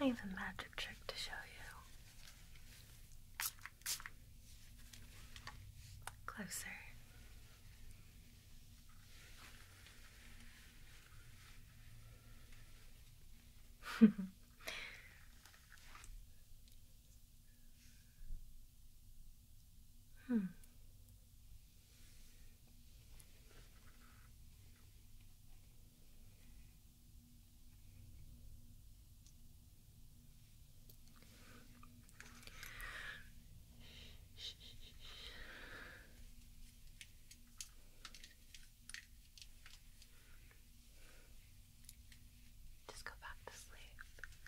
I have a magic trick to show you. Closer. Hmm. Just go back to sleep.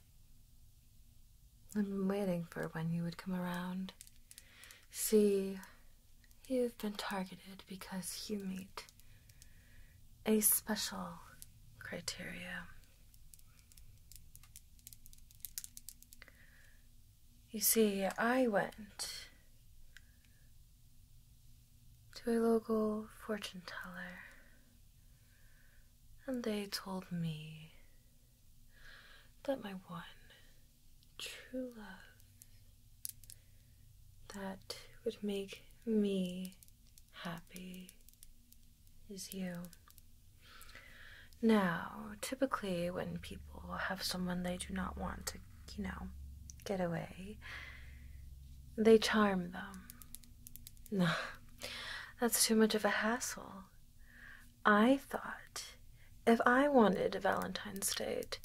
I've been waiting for when you would come around. See, you've been targeted because you meet a special criteria. You see, I went to a local fortune teller and they told me that my one true love that would make me happy is you. Now, typically, when people have someone they do not want to, you know, get away, they charm them no, that's too much of a hassle. I thought if I wanted a Valentine's date,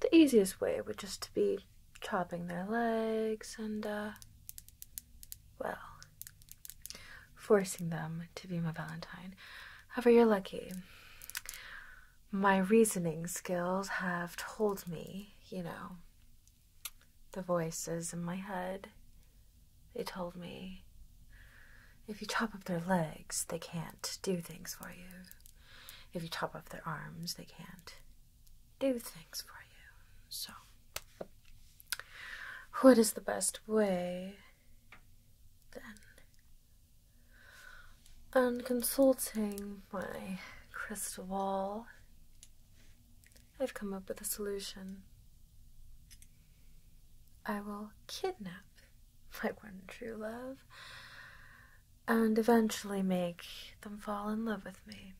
the easiest way would just be chopping their legs and, uh, well, forcing them to be my Valentine. However, you're lucky. My reasoning skills have told me, you know, the voices in my head. They told me if you chop off their legs, they can't do things for you. If you chop off their arms, they can't do things for you. So, what is the best way then? I'm consulting my crystal ball, I've come up with a solution. I will kidnap my one true love and eventually make them fall in love with me.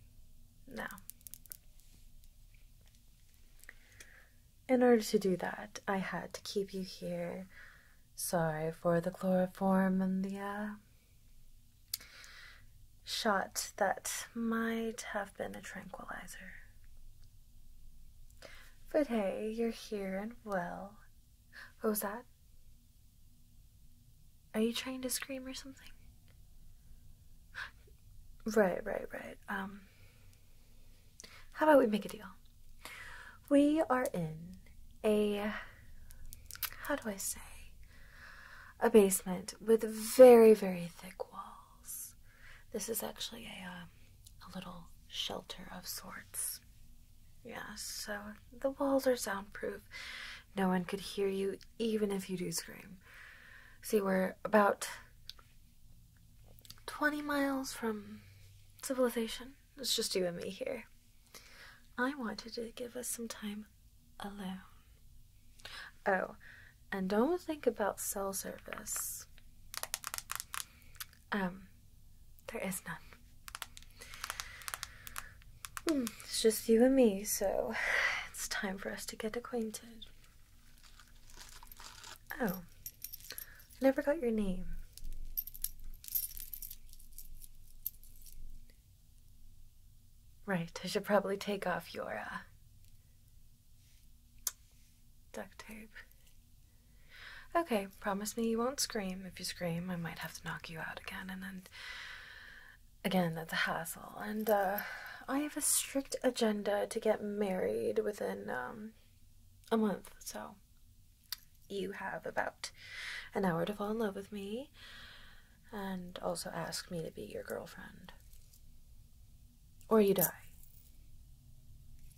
Now, in order to do that, I had to keep you here. Sorry for the chloroform and the, uh, shot that might have been a tranquilizer. But hey, you're here and well. What was that? Are you trying to scream or something? Right, right, right. Um, how about we make a deal? We are in a, how do I say, a basement with very, very thick walls. This is actually a, um, little shelter of sorts. Yes, so the walls are soundproof. No one could hear you, even if you do scream. See, we're about 20 miles from civilization. It's just you and me here. I wanted to give us some time alone. Oh, and don't think about cell service. Um, there is none. Hmm, it's just you and me, so it's time for us to get acquainted. Oh, I never got your name. Right, I should probably take off your uh, duct tape. Okay, promise me you won't scream. If you scream, I might have to knock you out again, and then again, that's a hassle. And uh, I have a strict agenda to get married within um, a month, so you have about an hour to fall in love with me and also ask me to be your girlfriend. Or you die.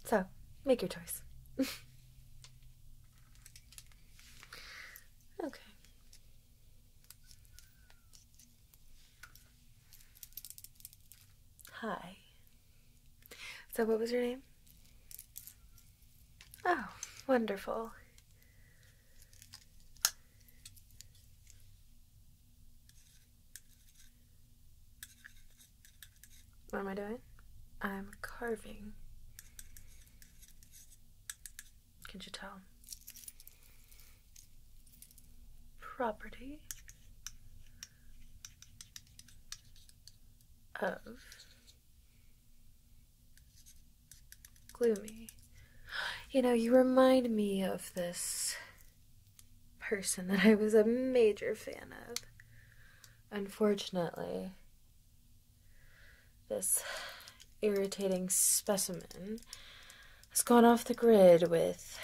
So, make your choice. okay. Hi. So, what was your name? Oh, wonderful. What am I doing? I'm carving. Can not you tell? Property of gloomy. You know, you remind me of this person that I was a major fan of. Unfortunately, this irritating specimen has gone off the grid with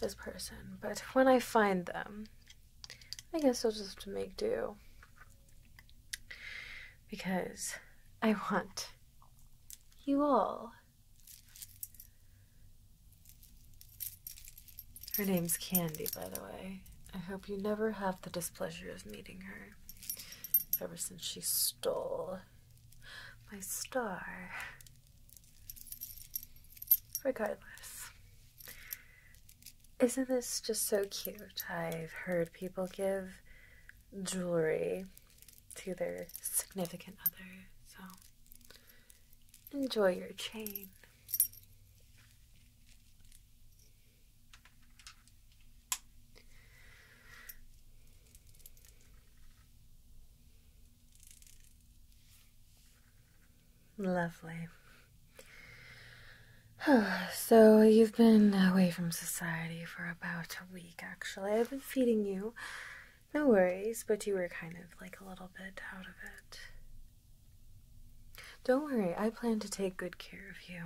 this person. But when I find them, I guess I'll just have to make do because I want you all. Her name's Candy, by the way. I hope you never have the displeasure of meeting her ever since she stole my star. Regardless, isn't this just so cute? I've heard people give jewelry to their significant other, so enjoy your chain. Lovely. so you've been away from society for about a week actually. I've been feeding you. No worries, but you were kind of like a little bit out of it. Don't worry, I plan to take good care of you.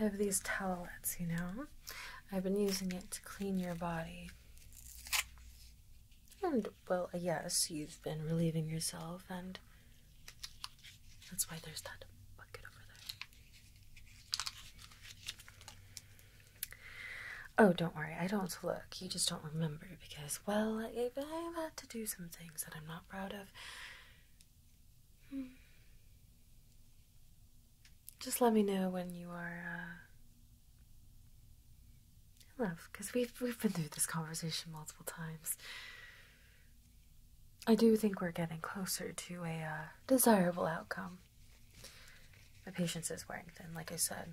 I have these towelettes, you know. I've been using it to clean your body. And, well, yes, you've been relieving yourself, and that's why there's that bucket over there. Oh, don't worry, I don't look. You just don't remember because, well, I've had to do some things that I'm not proud of. Hmm. Just let me know when you are uh, Love, because we've we've been through this conversation multiple times. I do think we're getting closer to a uh, desirable outcome. My patience is wearing thin, like I said.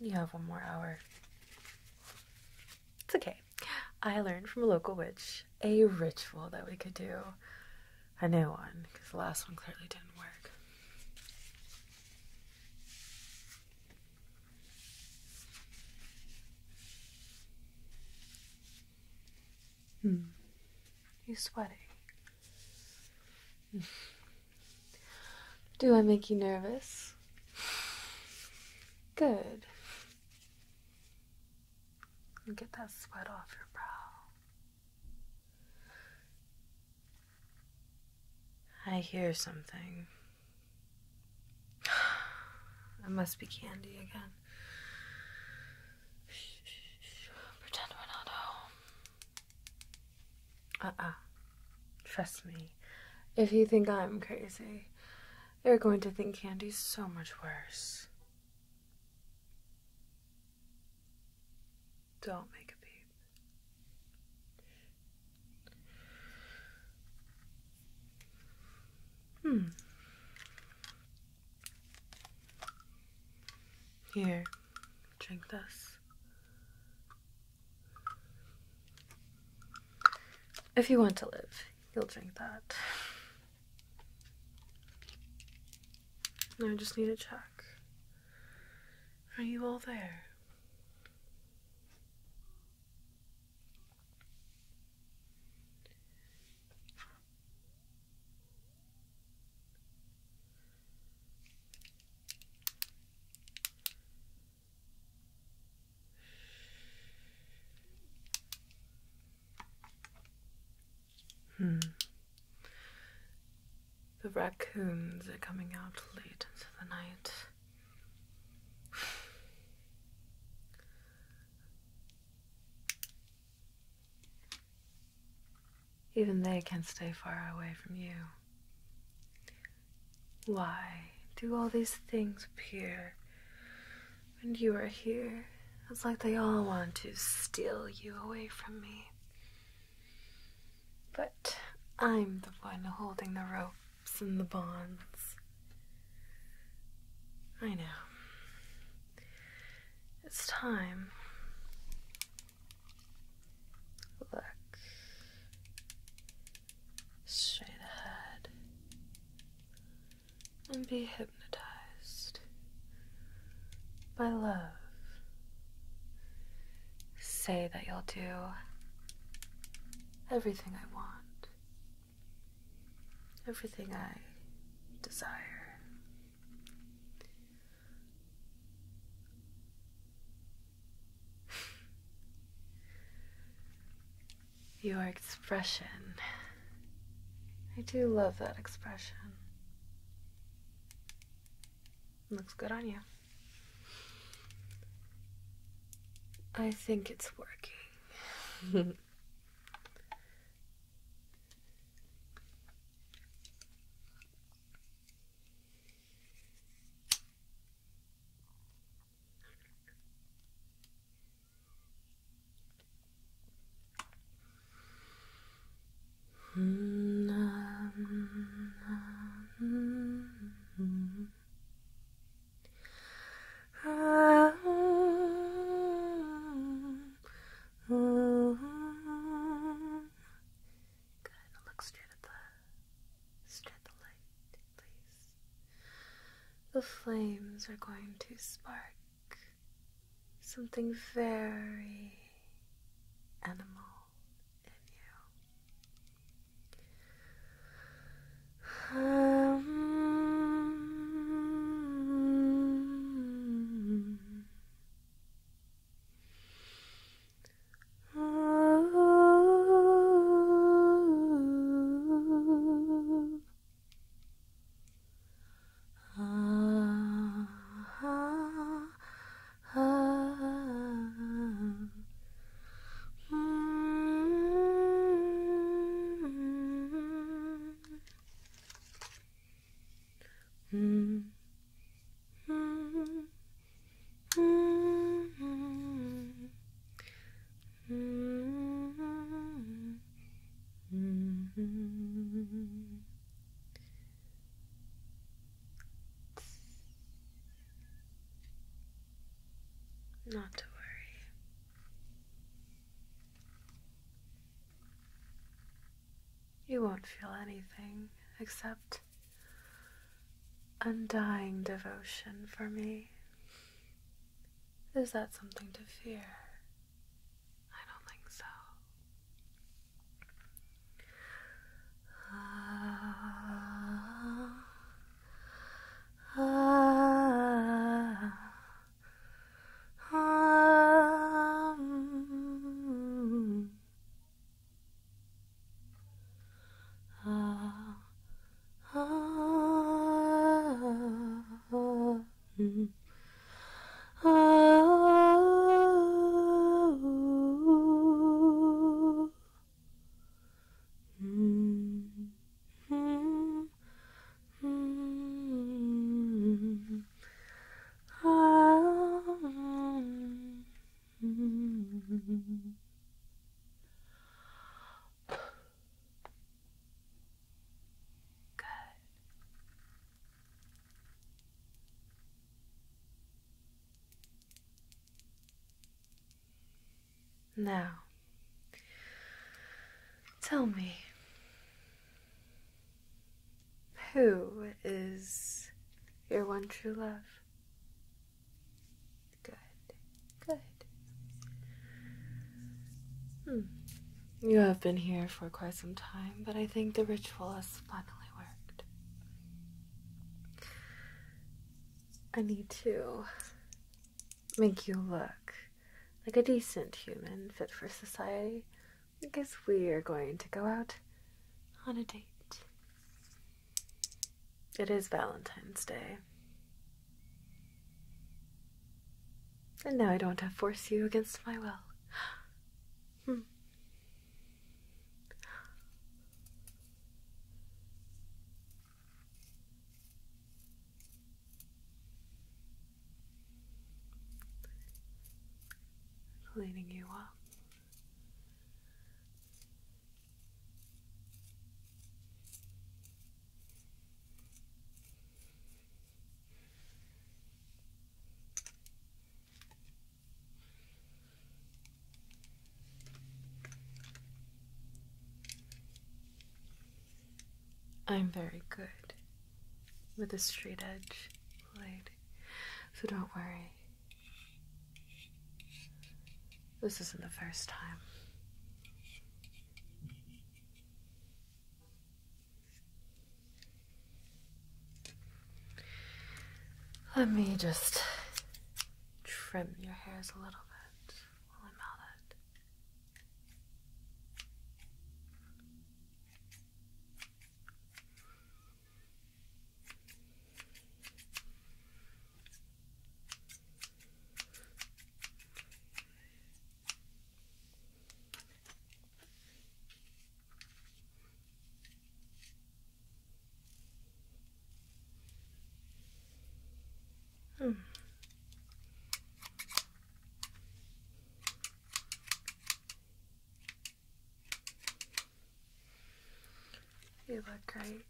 You have one more hour. It's okay. I learned from a local witch a ritual that we could do. A new one, because the last one clearly didn't work. Hmm. You're sweating. Do I make you nervous? Good. get that sweat off your brow. I hear something. I must be Candy again. Pretend we're not Uh uh. Trust me. If you think I'm crazy, you are going to think Candy's so much worse. Don't make a beep. Hmm. Here, drink this. If you want to live, you'll drink that. I just need to check. Are you all there? Hmm. The raccoons are coming out late into the night. Even they can stay far away from you. Why do all these things appear when you are here? It's like they all want to steal you away from me. But I'm the one holding the ropes and the bonds. I know. It's time. Look. Straight ahead. And be hypnotized by love say that you'll do everything I want, everything I desire. Your expression. I do love that expression. Looks good on you. I think it's working. Good. Look The flames are going to spark something very animal in you. Um, ah, ah, Ah. hmm not to worry. You won't feel anything except undying devotion for me. Is that something to fear? I don't think so. Ah, ah, ah, ah, ah, ah, Oh. Mm -hmm. Mm -hmm. Oh. -hmm. Good. Now, tell me, who is your one true love? Good, good. Hmm. You have been here for quite some time, but I think the ritual has finally worked. I need to make you look like a decent human fit for society. because we are going to go out on a date. It is Valentine's Day. And now I don't have to force you against my will. Hmm. you up. I'm very good with a straight edge blade, so don't worry. This isn't the first time. Let me just trim your hairs a little bit Hmm. You look great.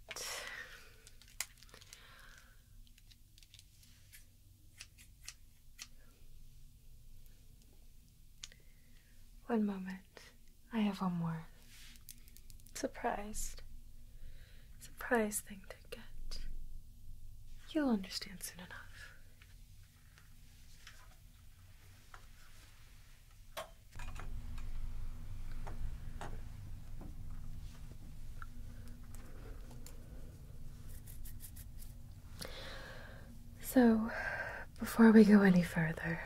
One moment. I have one more. Surprised. Surprised thing to get. You'll understand soon enough. So, before we go any further,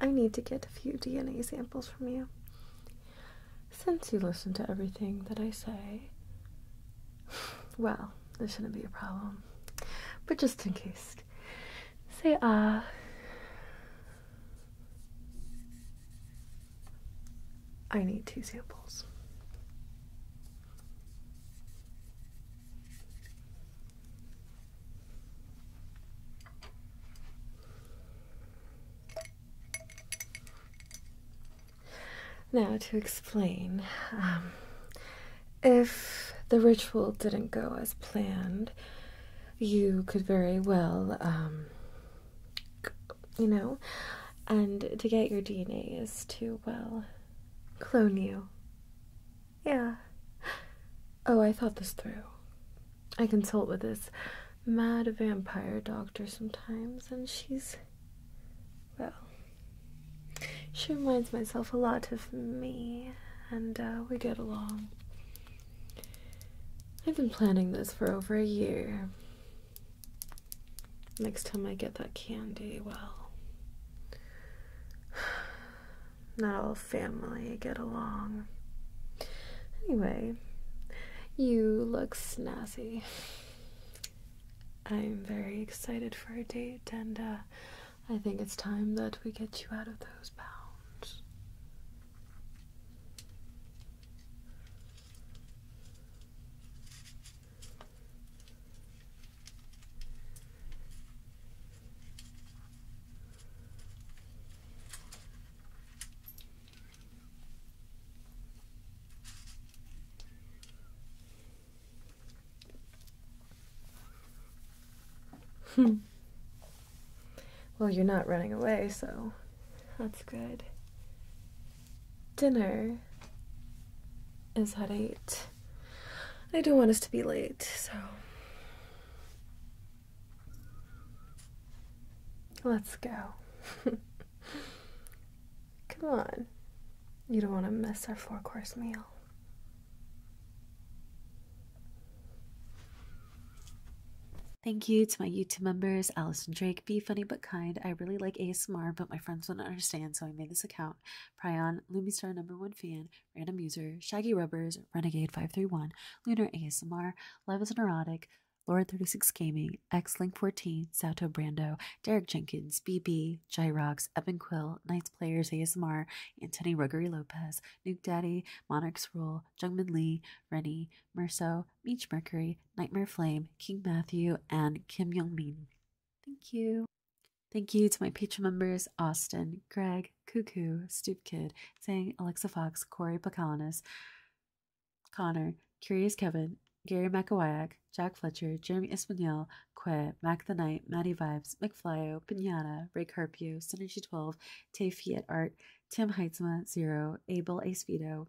I need to get a few DNA samples from you. Since you listen to everything that I say, well, this shouldn't be a problem. But just in case, say ah. I need two samples. Now, to explain, um, if the ritual didn't go as planned, you could very well, um, you know, and to get your DNA is to, well, clone you. Yeah. Oh, I thought this through. I consult with this mad vampire doctor sometimes, and she's. well. She reminds myself a lot of me, and uh, we get along. I've been planning this for over a year. Next time I get that candy, well, not all family get along. Anyway, you look snazzy. I'm very excited for a date, and uh, I think it's time that we get you out of those bounds. Hmm. Well, you're not running away, so that's good dinner is at 8. I don't want us to be late, so. Let's go. Come on. You don't want to miss our four course meal. Thank you to my YouTube members, Allison Drake, B Funny Book kind. I really like ASMR, but my friends would not understand, so I made this account. Prion, Lumistar number one fan, random user, Shaggy Rubbers, Renegade531, Lunar ASMR, Love is Neurotic, Lord36 Gaming, Xlink14, Sato Brando, Derek Jenkins, BB, Gyrox, Evan Quill, Knights Players ASMR, Anthony Ruggery Lopez, Nuke Daddy, Monarchs Rule, Jungman Lee, Rennie, Murso, Meech Mercury, Nightmare Flame, King Matthew, and Kim Young Min. Thank you. Thank you to my Patreon members Austin, Greg, Cuckoo, Stoop Kid, Sang, Alexa Fox, Corey Placanis, Connor, Curious Kevin, Gary McAwayak, Jack Fletcher, Jeremy Espanyol, Que, Mac the Knight, Maddie Vibes, McFlyo, Pinata, Ray Carpio, Synergy12, Tay Fiat Art, Tim Heitzma, Zero, Abel Acevedo,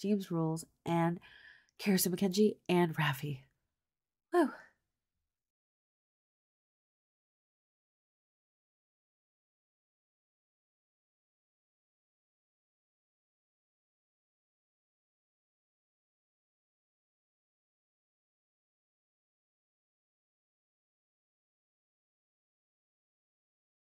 James Rules, and Carson McKenzie, and Rafi. Woo!